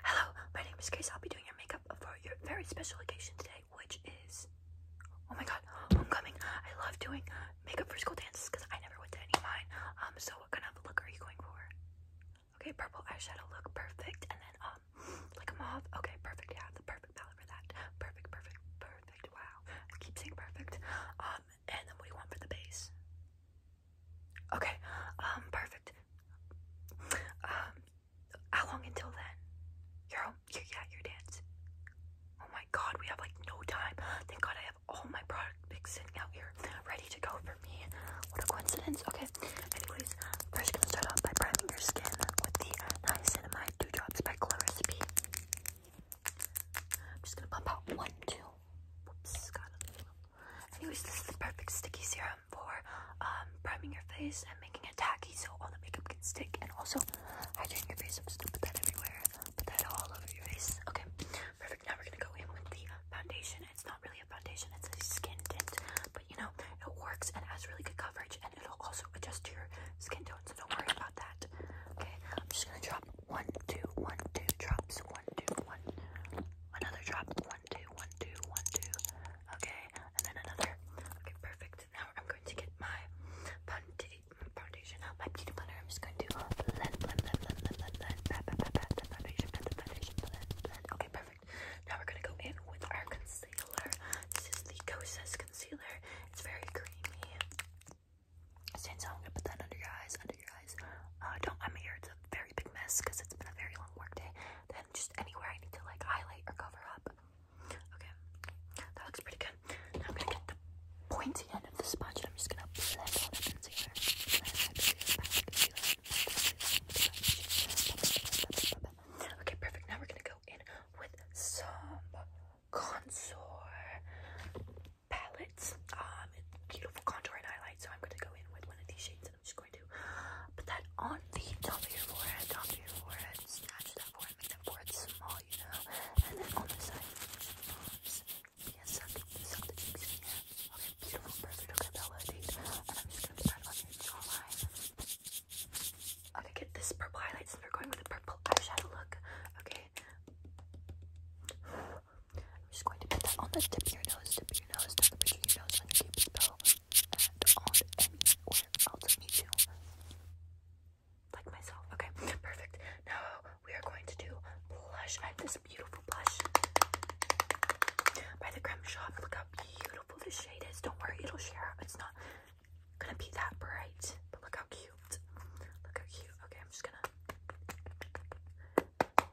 Hello, my name is Case. I'll be doing your makeup for your very special occasion today, which is. Oh my god, homecoming. I love doing makeup for school dances because I never went to any mine. Um, so what kind of look are you going for? Okay, purple eyeshadow look, perfect. And then, um, like a mauve. Okay, perfect. Yeah, the perfect palette for that. Perfect, perfect, perfect. Wow. I keep saying perfect. Um, and then what do you want for the base? Okay, um, perfect. Um, how long until then? You're You're, yeah, your dance. Oh my god, we have like no time. Thank god I have all my product picks out here ready to go for me. What a coincidence. Okay, anyways, first gonna start off by priming your skin with the niacinamide dew drops by Clarissa B. I'm just gonna pump out one, two. Whoops, got a Anyways, this is the perfect sticky serum for um, priming your face and making it tacky so all the makeup can stick and also hydrating your face. I'm just gonna put that everywhere. Put that all over your face. Okay, perfect. Now we're gonna go in with the foundation. It's not really a foundation, it's a skin tint, but you know, it works and has really good coverage and it'll also adjust to your skin tone, so don't worry about that. Okay, I'm just gonna drop one, two, one, two drops, one, two, one, another drop, one, two, one, two, one, two. Okay, and then another. Okay, perfect. Now I'm going to get my foundation, my beauty blender. I'm just going to blend, blend, blend, blend, blend, blend, blend, foundation, foundation, blend, blend. Okay, perfect. Now we're gonna go in with our concealer. This is the Kosas concealer. It's very creamy. Since i put that under your eyes, under your eyes. don't, I mean, it's a very big mess because it's been a very long work day just anywhere I need to like highlight or cover up. Okay, that looks pretty good. Now I'm gonna get the pointy end of the sponge and I'm just gonna Okay, perfect. Now we're gonna go in with some contour palettes. Um, beautiful contour and highlight. So I'm gonna go in with one of these shades. I'm just going to Put that on the top of your forehead, top of your forehead, snatch that forehead, make that forehead small, you know. And then on the side, yes, suck, suck the cheeks in here. Okay, beautiful, perfect, okay, Bella, indeed. And I'm just gonna start on your jawline. I'm gonna get this purple highlight So we're going with a purple eyeshadow look, okay? I'm just going to put that on the tip of your nose, tip of your nose, tuck the bridge of your nose, on your cupid's and on anywhere else. Me too. Like myself. Okay, perfect. Now we are going to do blush. I have this beautiful blush by the cream Shop. Look how beautiful this shade is. Don't worry, it'll share. It's not gonna be that bright, but look how cute. Look how cute. Okay, I'm just gonna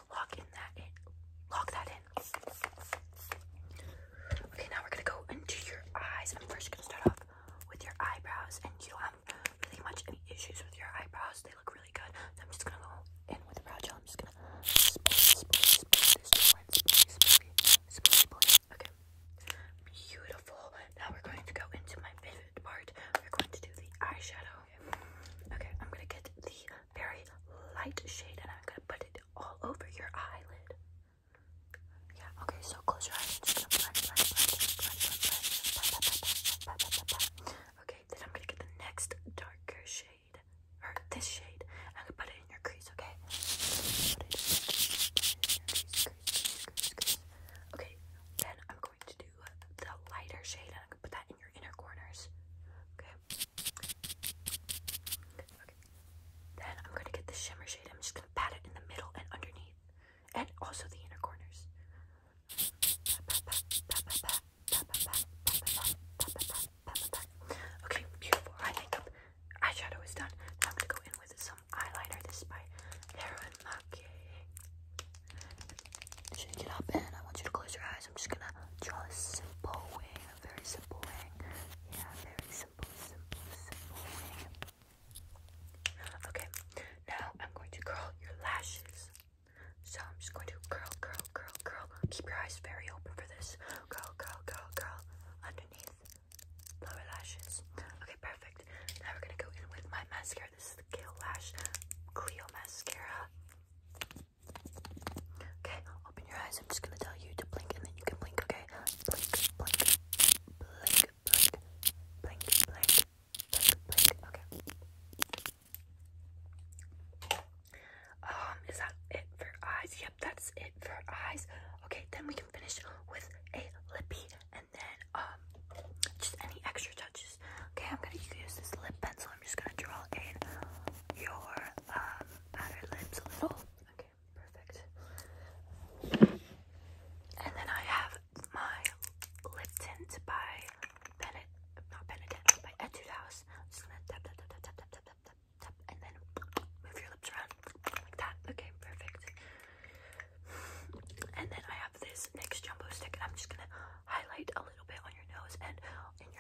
to lock in that in lock that in. Okay, now we're gonna go into your eyes. I'm first gonna start off with your eyebrows, and you don't have really much any issues with your eyebrows. They look really good. I'm just gonna go in with the brow gel. I'm just gonna Okay, beautiful. Now we're going to go into my vivid part. We're going to do the eyeshadow. Okay, I'm gonna get the very light shade and I'm gonna put it all over your eyelid. Yeah, okay, so close your eyes. Okay, then I'm gonna get the next darker shade, or this shade, I'm gonna put it in your crease, okay? crease. Okay, then I'm going to do the lighter shade and I'm gonna put that in your inner corners. Okay. Then I'm going to get the shimmer shade. I'm just going to pat it in the middle and underneath. And also the inner corners. Okay, beautiful eye makeup. Eyeshadow is done. Now I'm going to go in with some eyeliner. This is by Erin Maki. Shake it up and I want you to close your eyes. I'm just gonna draw a simple wing, a very simple wing. Yeah, very simple, simple, simple wing. Okay, now I'm going to curl your lashes. So I'm just going to curl, curl, curl, curl. Keep your eyes very open for this. Curl, curl, curl, curl. Underneath lower lashes. Okay, perfect. Now we're gonna go in with my mascara. This is the Kill Lash Cleo mascara. Okay, open your eyes. I'm just gonna tell you to blink and then you can blink, okay? Blink, blink, blink, blink, blink, blink, blink, blink, okay. Um, is that it for eyes? Yep, that's it for eyes. Okay, then we can finish with a lippy and then um just any extra touches. Okay, I'm gonna use this lip pencil. I'm just gonna draw in your outer lips a little. Okay, perfect. And then I have my lip by Bennett, not Benedict, by Etude House. just gonna tap, tap, tap, tap, tap, tap, tap, tap, and then move your lips around like that. Okay, perfect. And then I have this NYX Jumbo Stick. I'm just gonna highlight a little bit on your nose and in your